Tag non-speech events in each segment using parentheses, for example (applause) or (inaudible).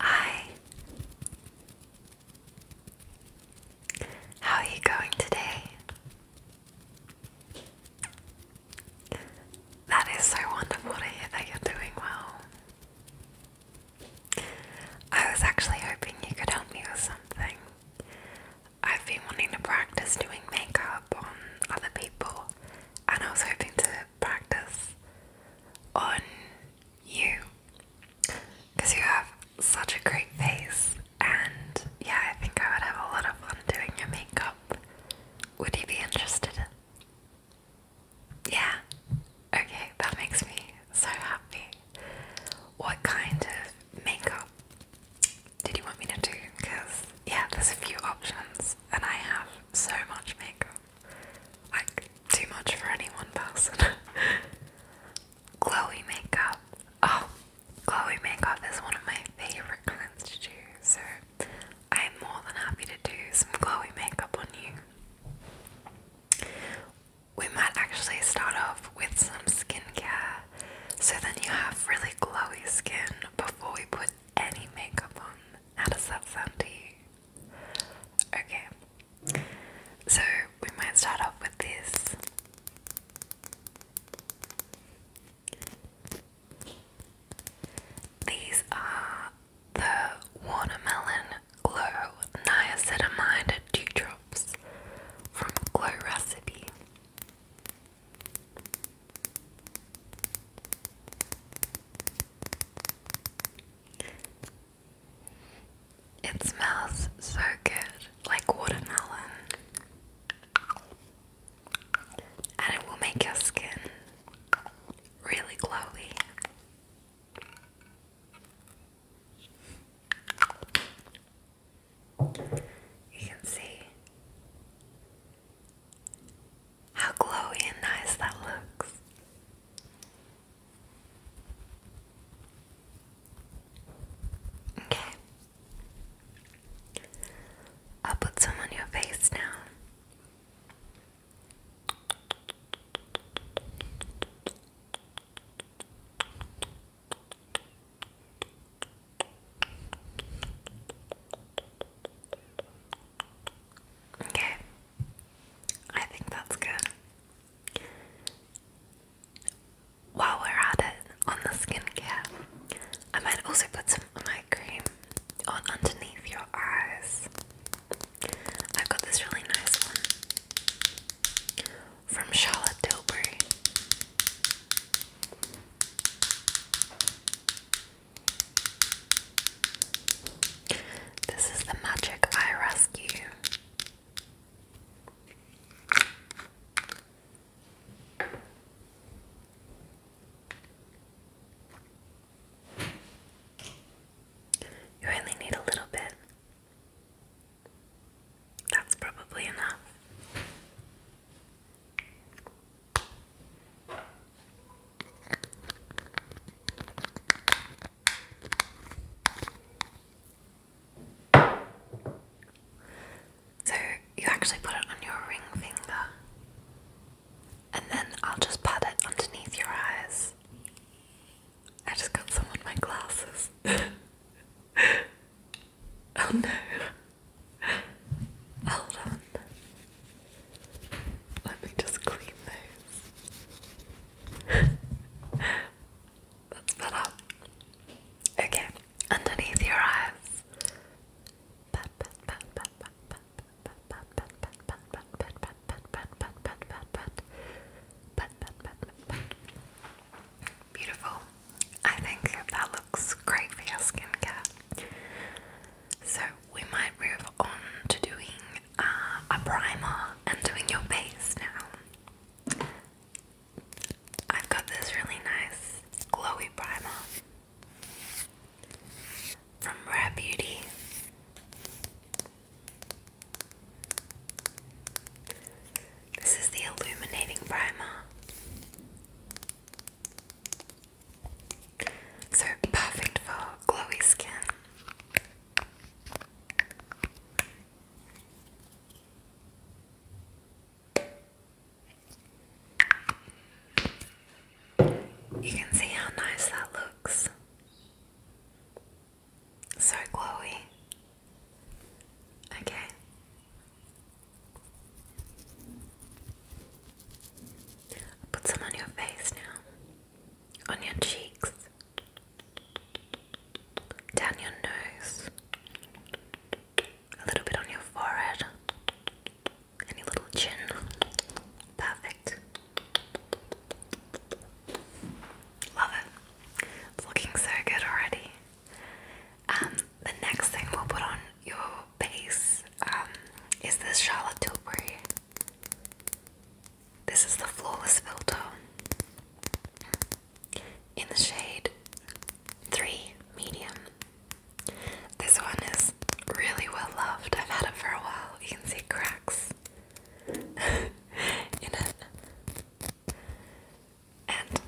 Hi. How are you going today? That is so wonderful to hear that you're doing well. I was actually hoping you could help me with something. I've been wanting to practice doing makeup on other people, and I was hoping to practice on you because you have such a great face, and yeah, I think I would have a lot of fun doing your makeup. Would you be interested? Yeah, okay, that makes me so happy. What kind of makeup did you want me to do? Because, yeah, there's a few options, and I have so much makeup. Like, too much for any one person. Glowy (laughs) makeup. Oh, glowy makeup is one of my favourite kinds to do, so I am more than happy to do some glowy makeup on you. We might actually start off with some skincare so then you have really glowy skin before we put any makeup on. How does that sound to you? Okay, so we might start off with this. These are the Watermelon Glow Niacinamide Dewdrops from Glow Recipe. It smells so good, like watermelon. And it will make your skin really glowy. You can see how glowy and nice that looks. Okay. I'll put some on your face now. Okay, I think that's good. While we're at it on the skincare, I might also put some eye cream on underneath your eyes. I've got this really nice one from Charlotte Tilbury. This is the Magic I Rescue. You only need a little bit. That's probably enough. So you actually put it on your ring finger, and then I'll just pat it underneath your eyes. I just got some on my glasses. (laughs) oh no. Hold on. Let me just clean those. (laughs) That's better. Okay, underneath your eyes. Beautiful. I think that looks great for your skincare. So we might move on to doing uh, a primer and doing your base now. I've got this really nice glowy primer from Rare Beauty. This is the illuminating primer. So perfect for glowy skin. You can see how nice that looks. So glowy. Okay. put some on your face now on your cheeks, down your nose, a little bit on your forehead, and little chin. Perfect. Love it. It's looking so good already. Um, the next thing we'll put on your face um, is this Charlotte Tilbury this is the Flawless Filter in the shade 3 Medium. This one is really well loved. I've had it for a while. You can see cracks (laughs) in it. And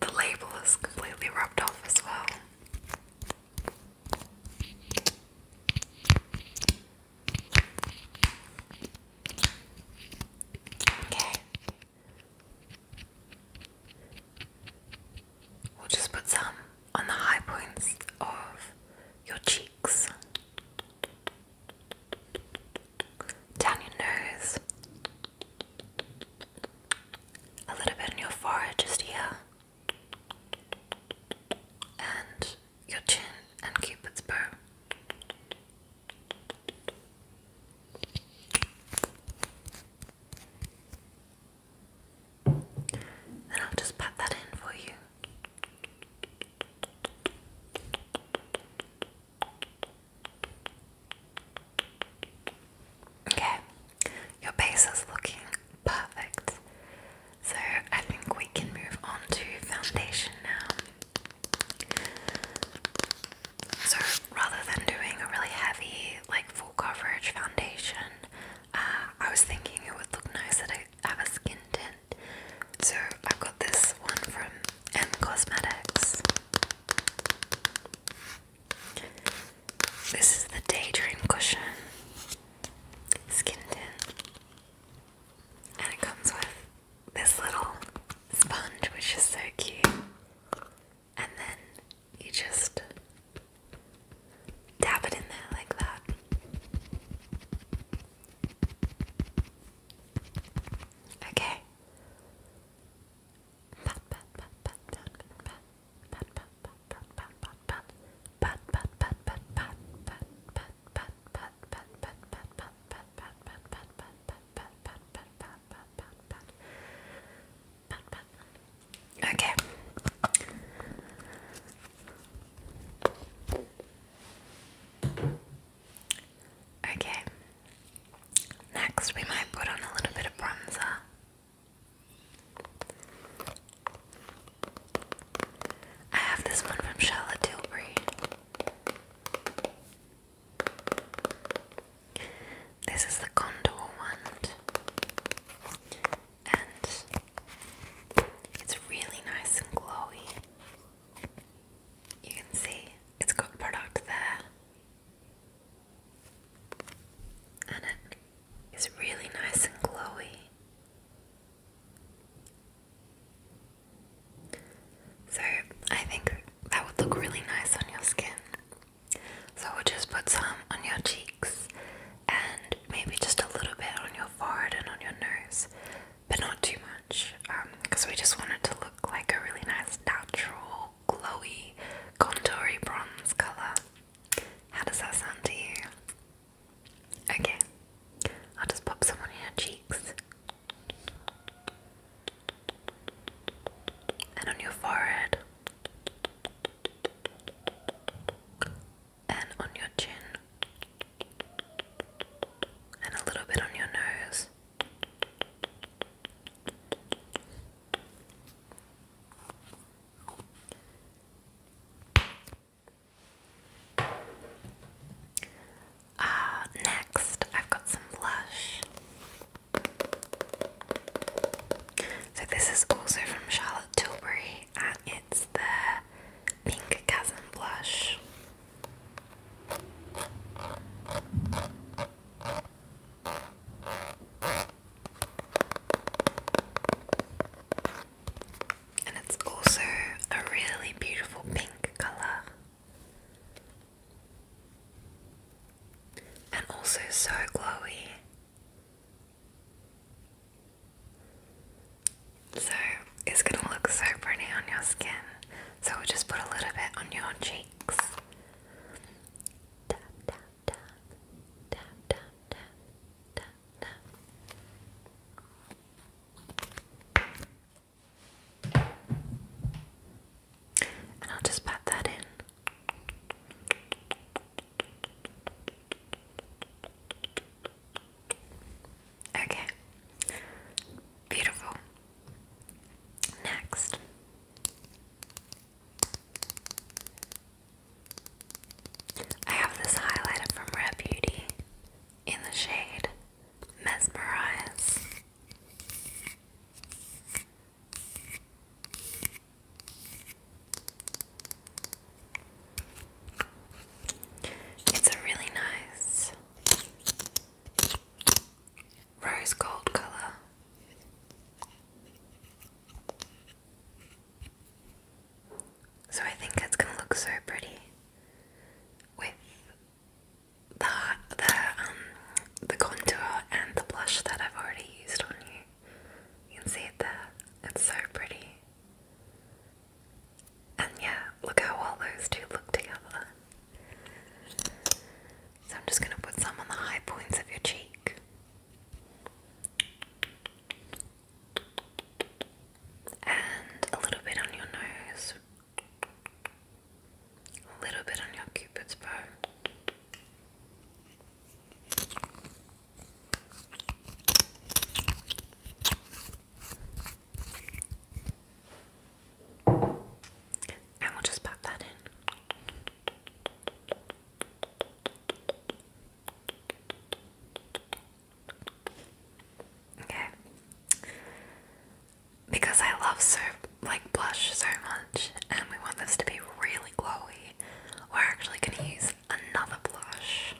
the label is completely rubbed off as well. Okay. We'll just put some on the high points of your cheeks, down your nose, a little bit on your forehead just here and your chin and Cupid's bow. Then I'll just pat that in for you. Okay, your base is looking perfect. So I think we can move on to foundation now. So rather than doing a really heavy, like full coverage foundation, uh, I was thinking it would look nice that I have a skin tint. So I've got this one from M Cosmetics. This is the Daydream Cushion skin tint. And it comes with this little sponge, which is so cute. And then you just dab it in there like that. Okay okay okay next we might put on a little bit of bronzer I have this one from Charlotte Tilbury. This is the Condor wand, and it's really nice and glowy. You can see it's got product there, and it is really nice and glowy. So I think that would look really nice on your skin. So we'll just put some on your cheeks and maybe just a little bit on your forehead and on your nose, but not too much because um, we just want it to look like a really nice natural glowy contoury bronze colour. How does that sound to you? Okay, I'll just pop some on your cheeks and on your forehead and on your chin and a little bit on your nose. Uh, next, I've got some blush. So, this is also from Charlotte Tilbury, and it's the Pink Chasm Blush and it's also a really beautiful pink colour. And also so glowy. So it's going to look so pretty on your skin. So just put a little bit on your cheeks. And I'll just pat that in. Okay, beautiful. Next, I have this highlighter from Rare Beauty in the shade Mesmerize. It's a really nice rose gold color. So I think it's gonna look so pretty with the the um the contour and the blush that I've already used on you. You can see it there. It's so pretty. And yeah, look how all those two look together. So I'm just gonna put some on the high points of your cheek and a little bit on your nose, a little bit on your cupid's bow. And we'll just pat that in. Okay. Because I love so like blush so much and we want this to be really glowy, we're actually gonna use another blush.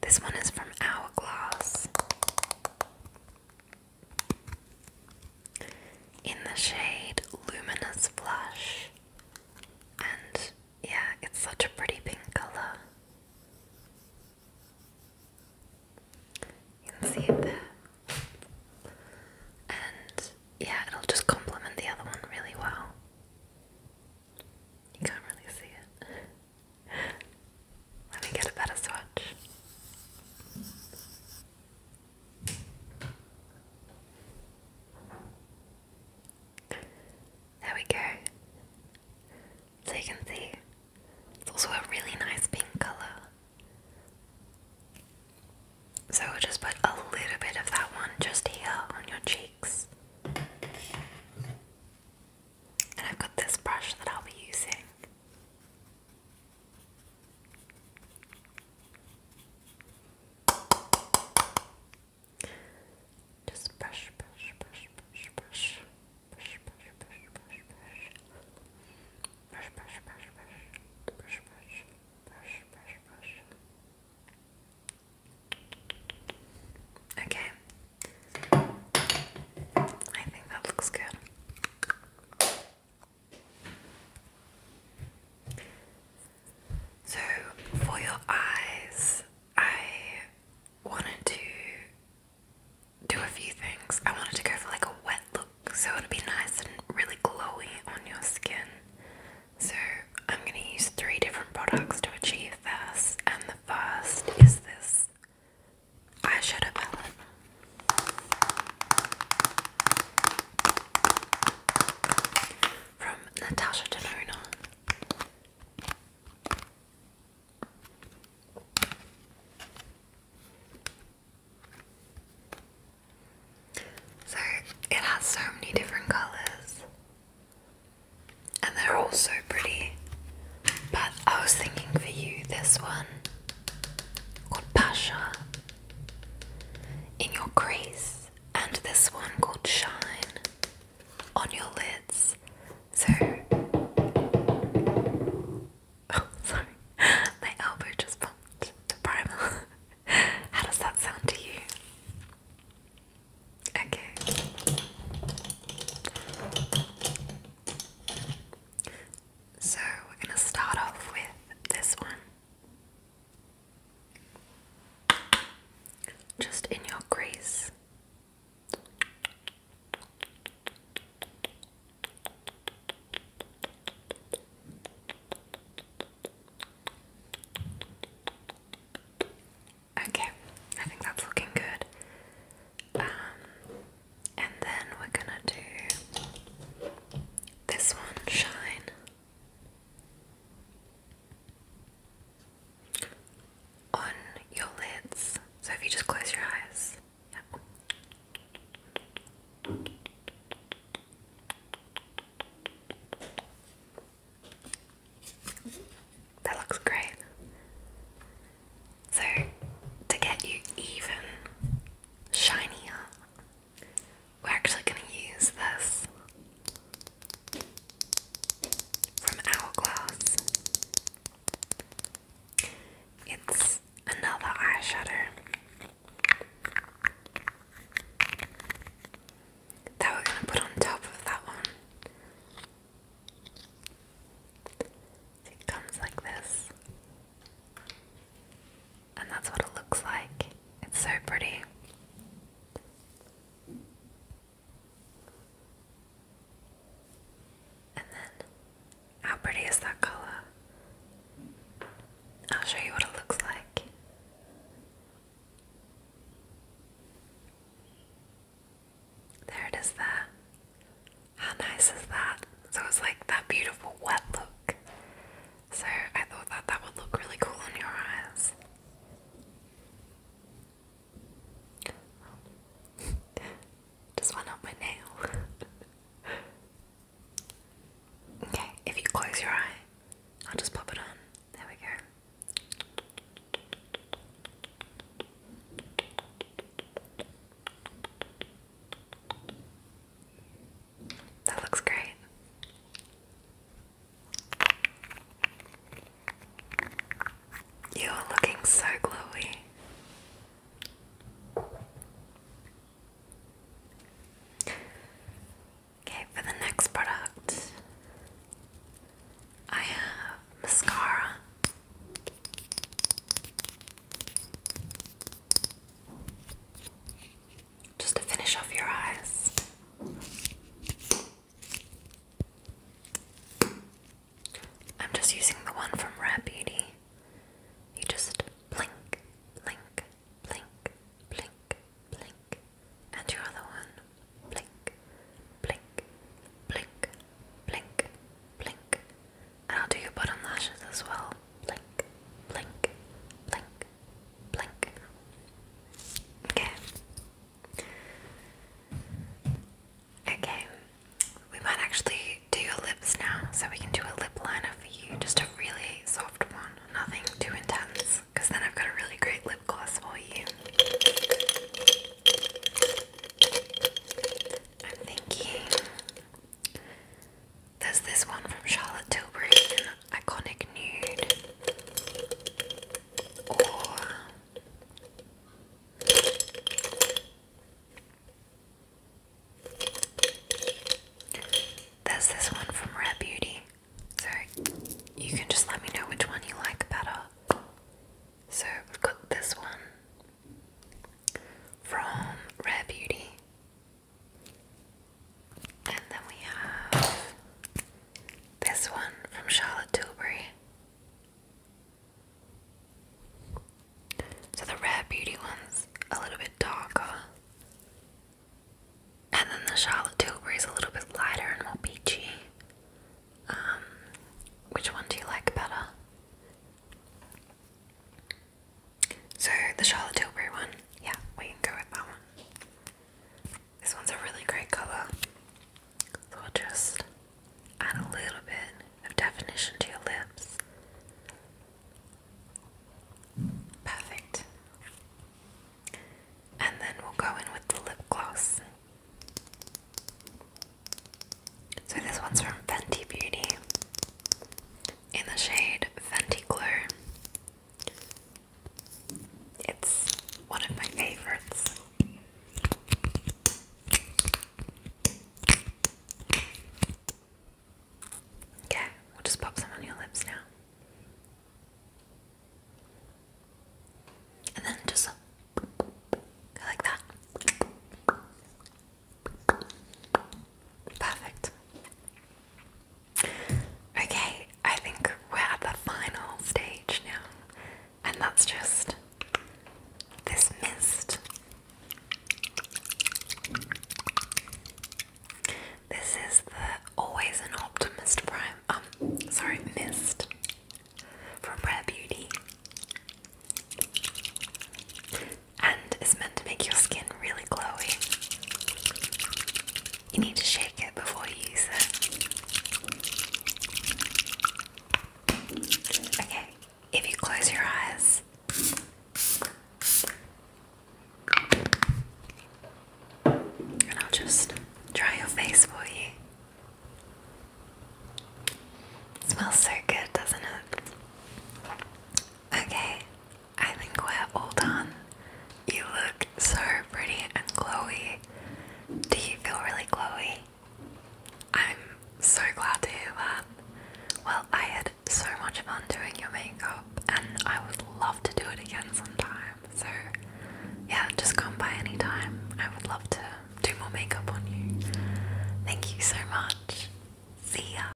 This one is from Hourglass in the shade Luminous Blush. And yeah, it's such a pretty pink colour. You can see it there. And yeah, it'll just complement the other one really well. You can't really see it. (laughs) Let me get a better swatch. There we go. So you can see it's also a really nice pink colour. So we'll just put a little bit of that one just here on your cheeks. And I've got this brush that I'll be using. Just brush, brush, brush, brush, brush, brush, brush, brush, brush, brush, brush, brush, brush, brush, brush, brush, brush, Okay. I think that looks good. So, for your eyes, I wanted to do a few things. I wanted to go for like a wet look, so it would be nice and really glowy on your skin. So, I'm going to use three different products to achieve this, and the first is this eyeshadow palette. From Natasha Denona. So it has so many different colours and they're all so pretty. But I was thinking for you this one called Pasha in your crease, and this one called Shine on your lids. So, (laughs) oh, sorry, (laughs) my elbow just bumped the primer. (laughs) How does that sound to you? Okay. So, we're going to start off with this one. Just in your grace. Okay, I think that's looking good. Um, and then we're gonna do this one, Shine. On your lids. So if you just close your eyes. That looks great. So, to get you even shinier, we're actually going to use this from Hourglass. It's another eyeshadow that we're going to put on top of that one. It comes like this. And that's what it looks like. It's so pretty. And then, how pretty is that colour? I'll show you what it looks like. There it is there. How nice is that? So it's like that beautiful wet look. So I thought that that would look really cool on your eyes. (laughs) Just went up my nail. (laughs) okay, if you close your eye, I'll just pop it on. There we go. That looks great. You are looking so glowy. Okay, for the next product, I have mascara just to finish off your eyes. I'm just using the one from Rare Beauty. You just blink, blink, blink, blink, blink, and your other one blink, blink, blink, blink, blink, and I'll do your bottom lashes as well. Blink, blink, blink, blink. Okay. Okay. We might actually do your lips now, so we can do a lip liner for you. Just a really soft one, nothing too intense, because then I've got a really great lip gloss for you. I'm thinking there's this one from Charlotte Tilbury, an iconic nude. there's this one from Rare Beauty. So you can just let me know which one you like better. So we've got this one from Rare Beauty. And then we have this one from Charlotte Tilbury. So the Rare Beauty one's a little bit darker. And then the Charlotte Tilbury's a little bit lighter and more peachy. Um, which one do you like better? So the Charlotte Tilbury one, yeah, we can go with that one. This one's a really great colour. So we'll just add a little bit of definition to your lips. Perfect. And then we'll go in with the lip gloss. So this one's from Fenty Beauty in the shade Fenty Glow. It's one of my favorites. Okay, we'll just pop some on your lips now. And then just like that. Perfect. Okay, I think we're at the final stage now, and that's just this mist. This is the Always an Optimist Prime, um, sorry, mist from Rare Beauty and it's meant to make your skin really glowy. You need to shake it before you use it. Okay, if you close your eyes, and I'll just dry your face for you. It smells so good, doesn't it? Okay, I think we're all done. You look so pretty and glowy. Do you feel really glowy? I'm so glad to hear that. Well, I had so much fun doing your makeup, and I would love to do it again sometime. So, yeah, just come by anytime. I would love to do more makeup on you. Thank you so much. See ya.